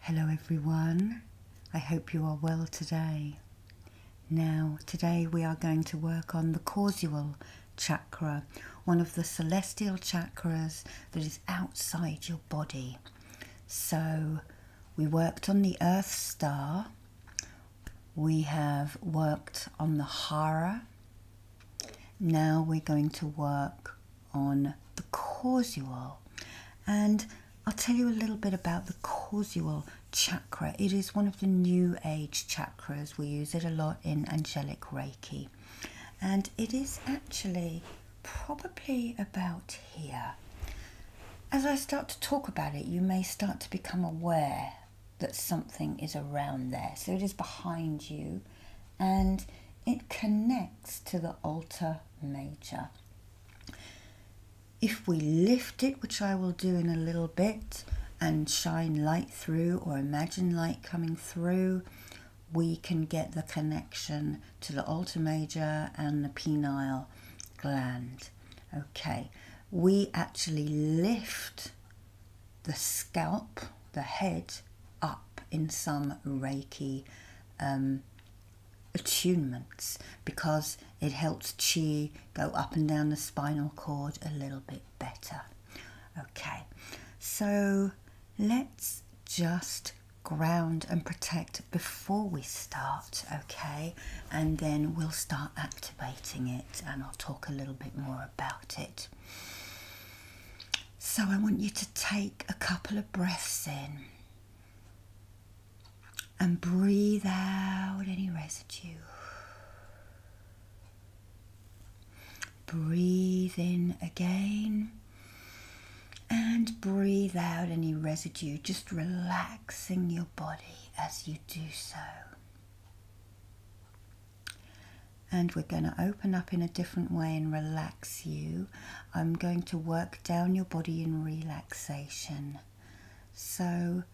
Hello everyone, I hope you are well today. Now, today we are going to work on the causal chakra, one of the celestial chakras that is outside your body. So, we worked on the Earth Star, we have worked on the Hara, now we're going to work on the causal. And I'll tell you a little bit about the causal chakra. It is one of the new age chakras. We use it a lot in angelic reiki. And it is actually probably about here. As I start to talk about it, you may start to become aware that something is around there. So it is behind you and it connects to the altar major. If we lift it, which I will do in a little bit, and shine light through or imagine light coming through, we can get the connection to the altar major and the penile gland. Okay, we actually lift the scalp, the head, up in some Reiki um, attunements because it helps chi go up and down the spinal cord a little bit better. Okay, so let's just ground and protect before we start, okay? And then we'll start activating it and I'll talk a little bit more about it. So I want you to take a couple of breaths in and breathe out any residue. Breathe in again and breathe out any residue, just relaxing your body as you do so and we're going to open up in a different way and relax you. I'm going to work down your body in relaxation. So,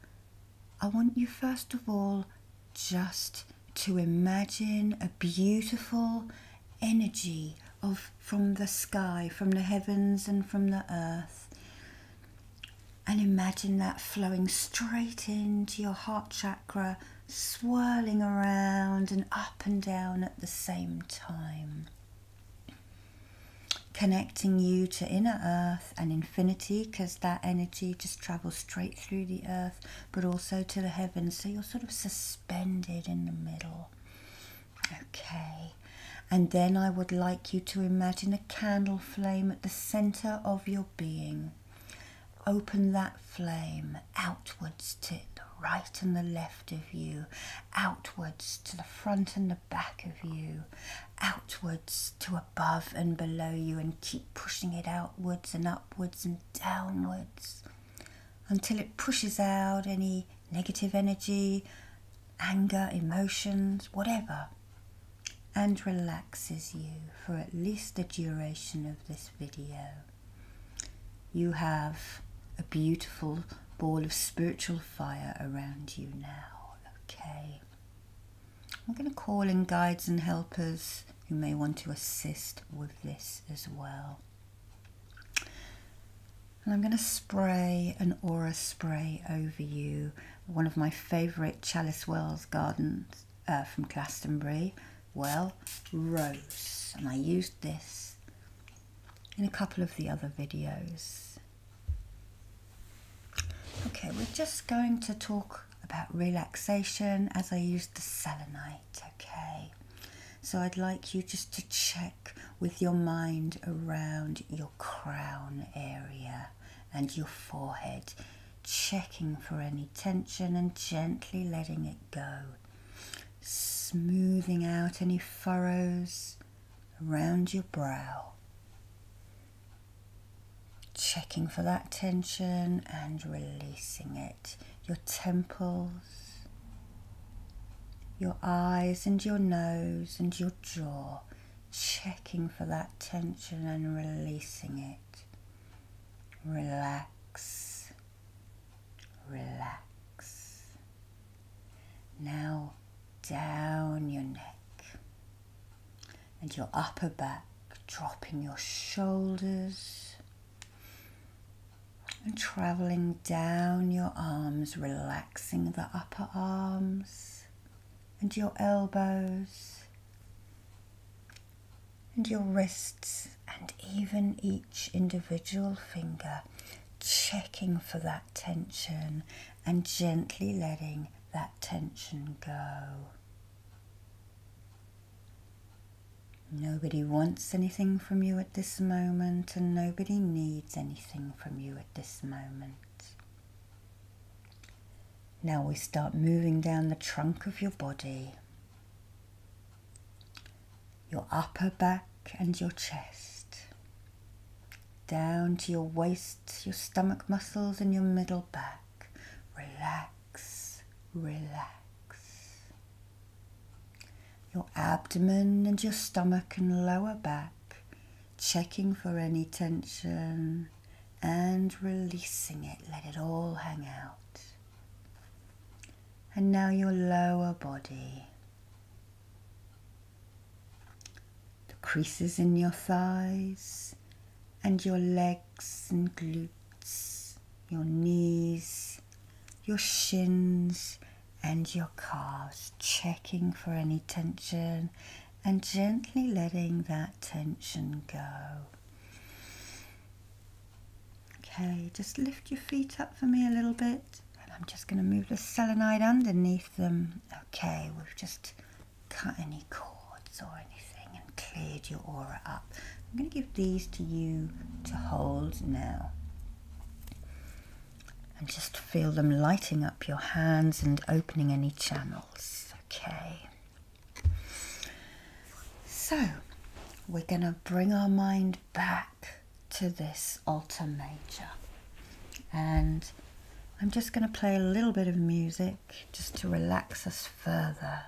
I want you first of all just to imagine a beautiful energy of from the sky, from the heavens and from the earth. And imagine that flowing straight into your heart chakra swirling around and up and down at the same time, connecting you to inner earth and infinity because that energy just travels straight through the earth but also to the heavens. So you're sort of suspended in the middle. Okay. And then I would like you to imagine a candle flame at the center of your being. Open that flame outwards to the right and the left of you, outwards to the front and the back of you, outwards to above and below you, and keep pushing it outwards and upwards and downwards until it pushes out any negative energy, anger, emotions, whatever, and relaxes you for at least the duration of this video. You have a beautiful ball of spiritual fire around you now, okay? I'm going to call in guides and helpers who may want to assist with this as well. And I'm going to spray an aura spray over you, one of my favourite Chalice Wells gardens uh, from Glastonbury well rose and I used this in a couple of the other videos. Okay, we're just going to talk about relaxation as I used the selenite, okay? So I'd like you just to check with your mind around your crown area and your forehead checking for any tension and gently letting it go, smoothing out any furrows around your brow, checking for that tension and releasing it, your temples, your eyes and your nose and your jaw, checking for that tension and releasing it. Relax, relax. Now down your neck and your upper back, dropping your shoulders and traveling down your arms, relaxing the upper arms and your elbows and your wrists and even each individual finger, checking for that tension and gently letting that tension go. Nobody wants anything from you at this moment, and nobody needs anything from you at this moment. Now we start moving down the trunk of your body, your upper back and your chest, down to your waist, your stomach muscles, and your middle back. Relax, relax. Your abdomen and your stomach and lower back, checking for any tension and releasing it. Let it all hang out. And now your lower body. The creases in your thighs and your legs and glutes, your knees, your shins and your calves, checking for any tension and gently letting that tension go. Okay, just lift your feet up for me a little bit. And I'm just going to move the selenide underneath them. Okay, we've just cut any cords or anything and cleared your aura up. I'm going to give these to you to hold now. And just feel them lighting up your hands and opening any channels. Okay. So we're going to bring our mind back to this alter major. And I'm just going to play a little bit of music just to relax us further.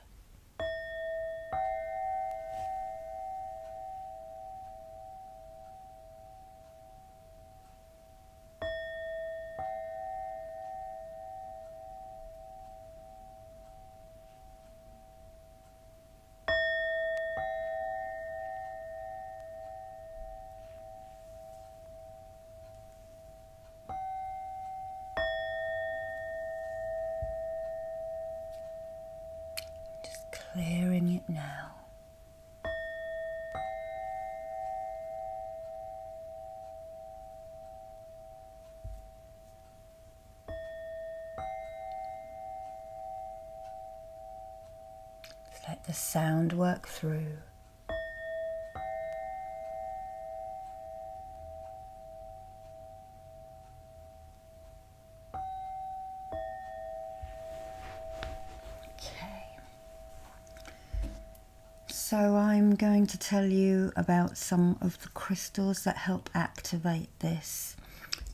Just clearing it now let the sound work through. Okay. So I'm going to tell you about some of the crystals that help activate this.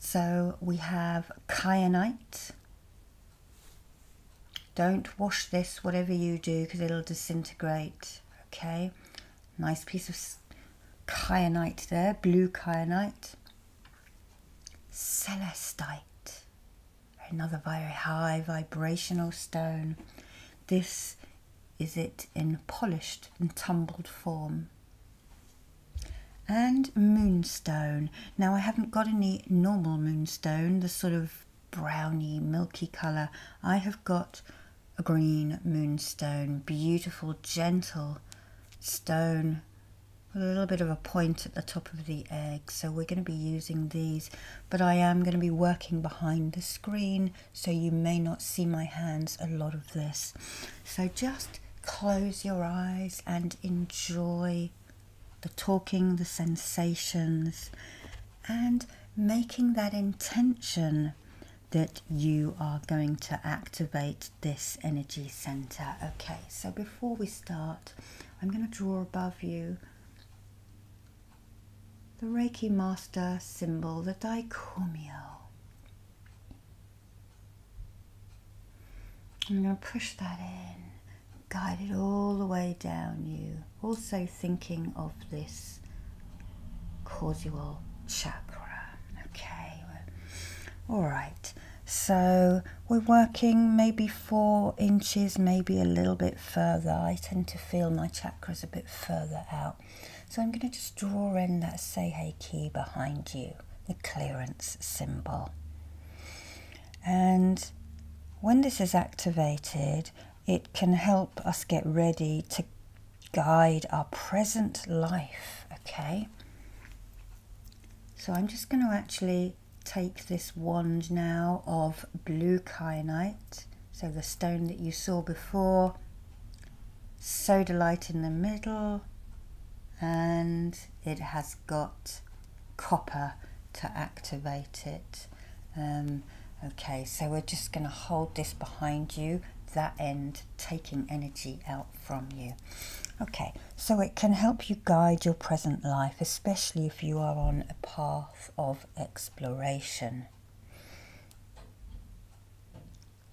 So we have kyanite. Don't wash this, whatever you do, because it'll disintegrate. Okay, nice piece of kyanite there, blue kyanite. Celestite, another very high vibrational stone. This is it in polished and tumbled form. And moonstone. Now I haven't got any normal moonstone, the sort of browny, milky colour. I have got a green moonstone, beautiful, gentle stone a little bit of a point at the top of the egg so we're going to be using these but I am going to be working behind the screen so you may not see my hands a lot of this so just close your eyes and enjoy the talking the sensations and making that intention that you are going to activate this energy center okay so before we start i'm going to draw above you the Reiki Master symbol, the Daikomyo. I'm going to push that in, guide it all the way down you. Also thinking of this causal chakra. Okay, all right. So we're working maybe four inches, maybe a little bit further. I tend to feel my chakras a bit further out. So I'm going to just draw in that say hey key behind you, the clearance symbol. And when this is activated, it can help us get ready to guide our present life, okay? So I'm just going to actually take this wand now of blue kyanite so the stone that you saw before, soda light in the middle, and it has got copper to activate it. Um, okay, so we're just going to hold this behind you, that end, taking energy out from you. Okay, so it can help you guide your present life, especially if you are on a path of exploration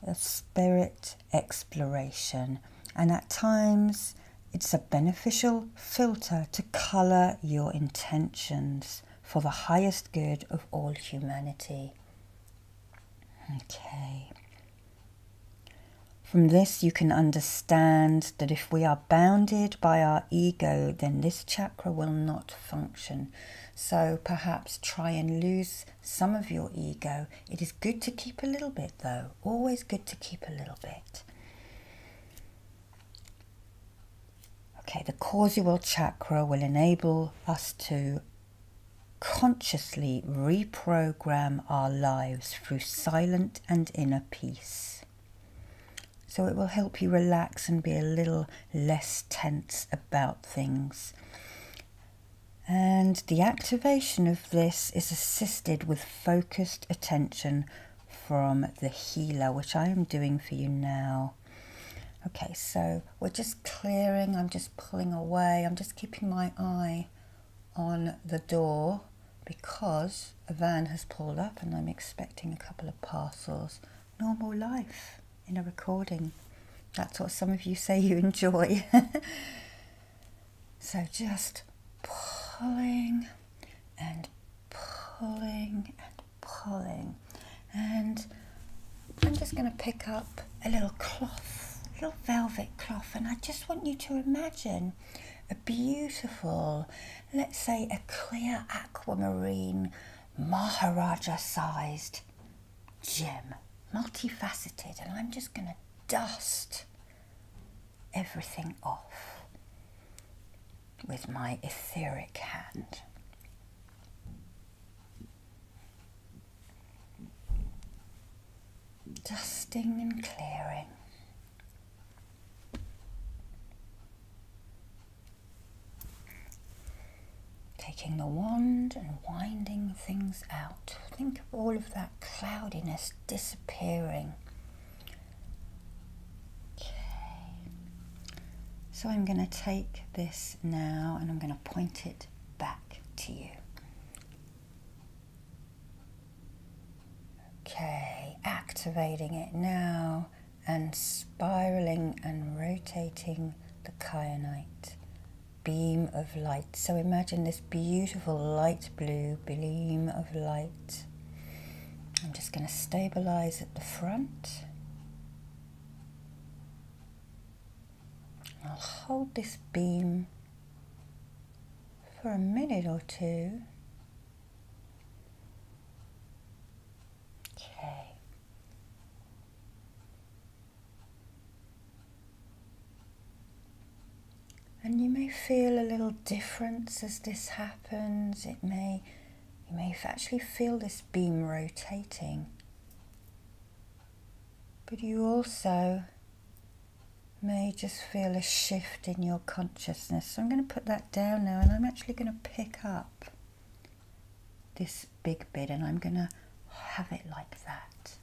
a spirit exploration, and at times it's a beneficial filter to colour your intentions for the highest good of all humanity. Okay. From this, you can understand that if we are bounded by our ego, then this chakra will not function. So perhaps try and lose some of your ego. It is good to keep a little bit, though. Always good to keep a little bit. Okay, the causal chakra will enable us to consciously reprogram our lives through silent and inner peace. So it will help you relax and be a little less tense about things. And the activation of this is assisted with focused attention from the healer, which I am doing for you now. Okay, so we're just clearing, I'm just pulling away, I'm just keeping my eye on the door because a van has pulled up and I'm expecting a couple of parcels normal life in a recording. That's what some of you say you enjoy. so just pulling and pulling and pulling. And I'm just going to pick up a little cloth, a little velvet cloth, and I just want you to imagine a beautiful, let's say a clear aquamarine Maharaja sized gem, multifaceted, and I'm just going to dust everything off with my etheric hand. Dusting and clearing. Taking the wand and winding things out. Think of all of that cloudiness disappearing. Okay. So I'm going to take this now and I'm going to point it back to you. Okay, activating it now and spiraling and rotating the kyanite beam of light. So imagine this beautiful light blue beam of light. I'm just going to stabilize at the front. I'll hold this beam for a minute or two Okay. And you may feel a little difference as this happens. It may, you may actually feel this beam rotating. But you also may just feel a shift in your consciousness. So I'm going to put that down now and I'm actually going to pick up this big bit and I'm going to have it like that.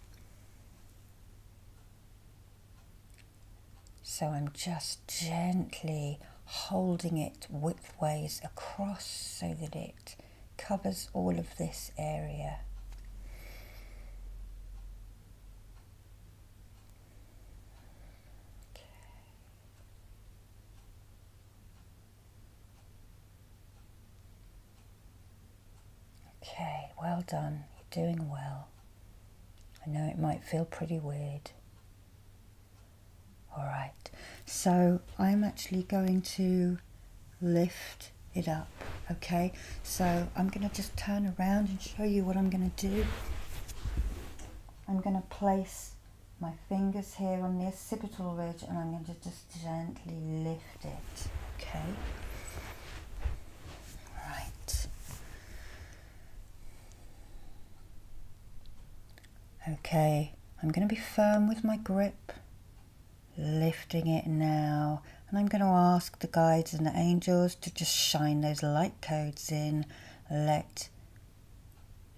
So I'm just gently holding it widthways across so that it covers all of this area. Okay, well done. You're doing well. I know it might feel pretty weird. All right, so I'm actually going to lift it up, okay? So I'm gonna just turn around and show you what I'm gonna do. I'm gonna place my fingers here on the occipital ridge and I'm going to just gently lift it. Okay. Right. Okay, I'm going to be firm with my grip, lifting it now. And I'm going to ask the guides and the angels to just shine those light codes in. Let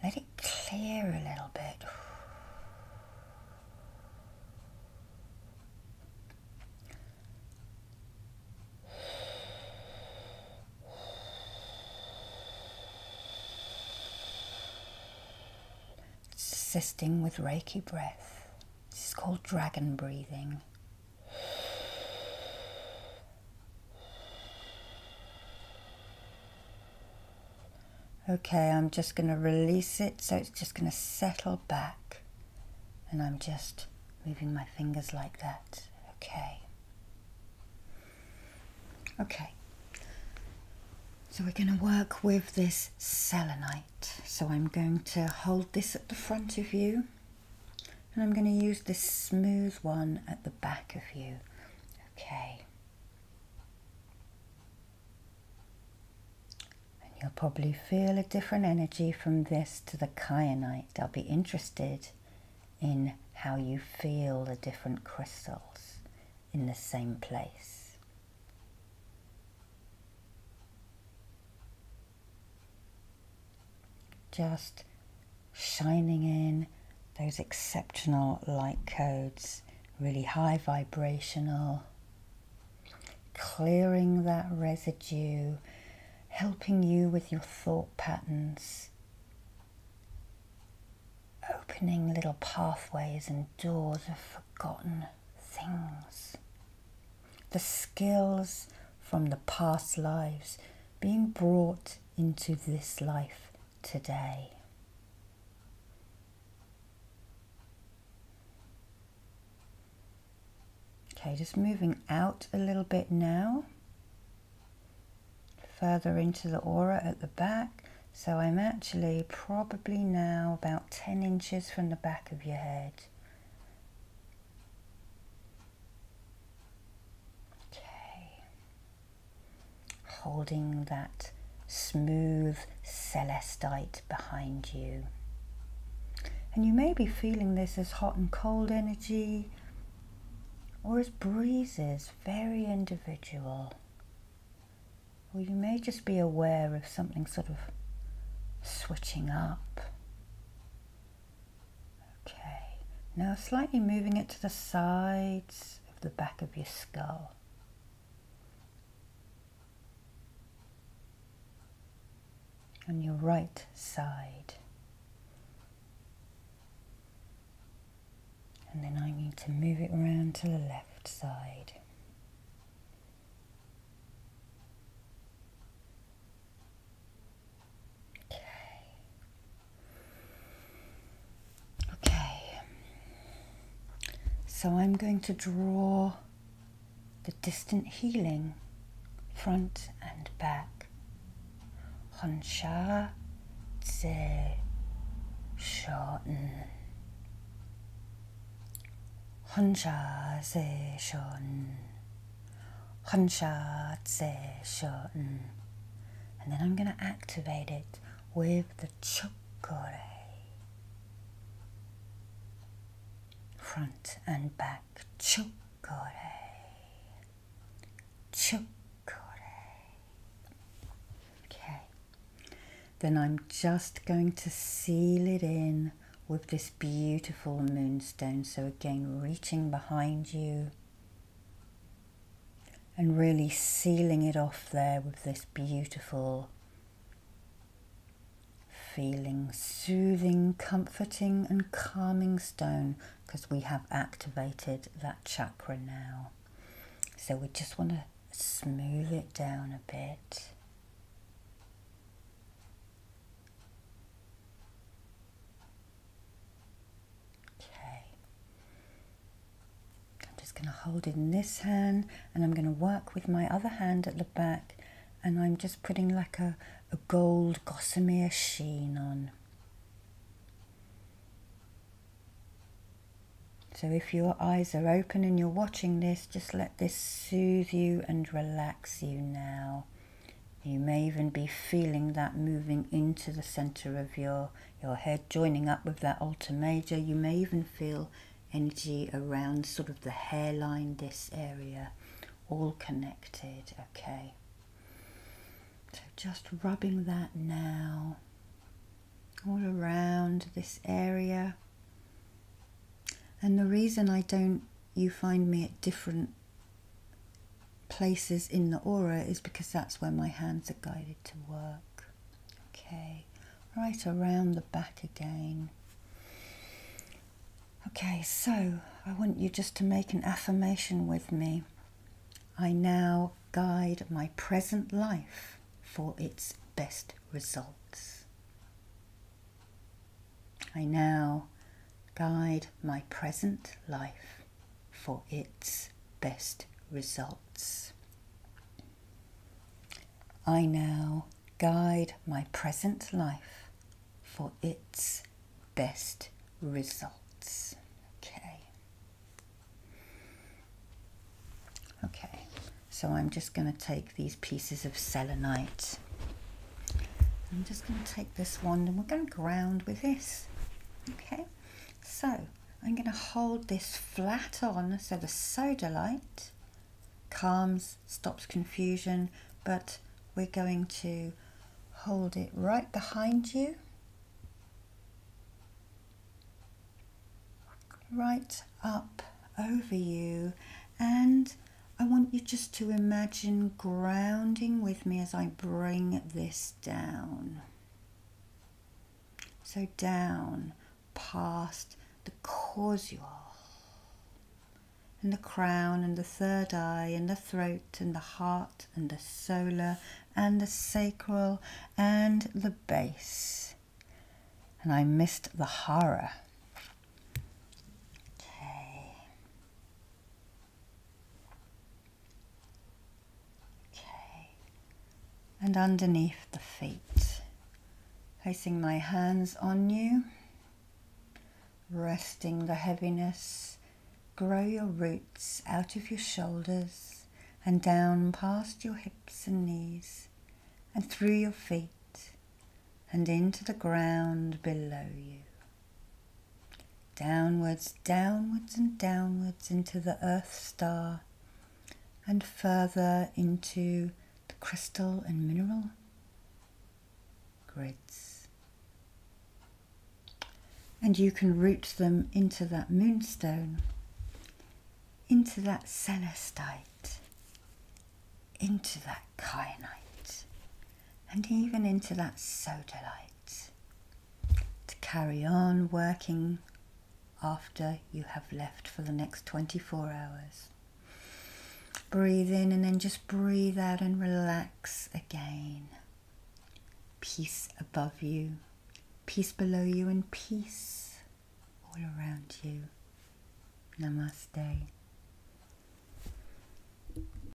let it clear a little bit. Assisting with Reiki breath. This is called dragon breathing. Okay, I'm just going to release it so it's just going to settle back. And I'm just moving my fingers like that. Okay. Okay. So we're going to work with this selenite. So I'm going to hold this at the front of you. And I'm going to use this smooth one at the back of you. Okay. And you'll probably feel a different energy from this to the kyanite. I'll be interested in how you feel the different crystals in the same place. Just shining in those exceptional light codes, really high vibrational, clearing that residue, helping you with your thought patterns, opening little pathways and doors of forgotten things. The skills from the past lives being brought into this life today. Okay, just moving out a little bit now, further into the aura at the back. So I'm actually probably now about 10 inches from the back of your head. Okay. Holding that smooth celestite behind you. And you may be feeling this as hot and cold energy or as breezes, very individual. Or you may just be aware of something sort of switching up Okay, now slightly moving it to the sides of the back of your skull. On your right side. And then I need to move it around to the left side. Okay. Okay. So I'm going to draw the distant healing front and back. Huncha se Shoten. Huncha se Shoten. Hansha Shoten. And then I'm going to activate it with the Chokore. Front and back Chokore. Chokore. Okay. Then I'm just going to seal it in with this beautiful moonstone. So again, reaching behind you and really sealing it off there with this beautiful feeling, soothing, comforting, and calming stone because we have activated that chakra now. So we just want to smooth it down a bit. Okay. I'm just going to hold in this hand and I'm going to work with my other hand at the back and I'm just putting like a, a gold gossamer sheen on. So if your eyes are open and you're watching this, just let this soothe you and relax you now. You may even be feeling that moving into the center of your, your head, joining up with that alter major. You may even feel energy around sort of the hairline, this area, all connected, okay? So just rubbing that now, all around this area. And the reason I don't, you find me at different places in the aura is because that's where my hands are guided to work. Okay, right around the back again. Okay, so I want you just to make an affirmation with me. I now guide my present life for its best results. I now guide my present life for its best results. I now guide my present life for its best results. Okay. Okay, so I'm just going to take these pieces of selenite. I'm just going to take this wand and we're going to ground with this. Okay, so I'm going to hold this flat on so the soda light calms, stops confusion, but we're going to hold it right behind you. Right up over you and I want you just to imagine grounding with me as I bring this down. So down past the causal and the crown and the third eye and the throat and the heart and the solar and the sacral and the base. And I missed the horror. Okay and underneath the feet, placing my hands on you, resting the heaviness. Grow your roots out of your shoulders and down past your hips and knees and through your feet and into the ground below you. Downwards, downwards, and downwards into the Earth star, and further into the crystal and mineral grids. And you can root them into that moonstone, into that celestite, into that kyanite, and even into that sodalite to carry on working after you have left for the next 24 hours. Breathe in and then just breathe out and relax again. Peace above you, peace below you, and peace all around you. Namaste.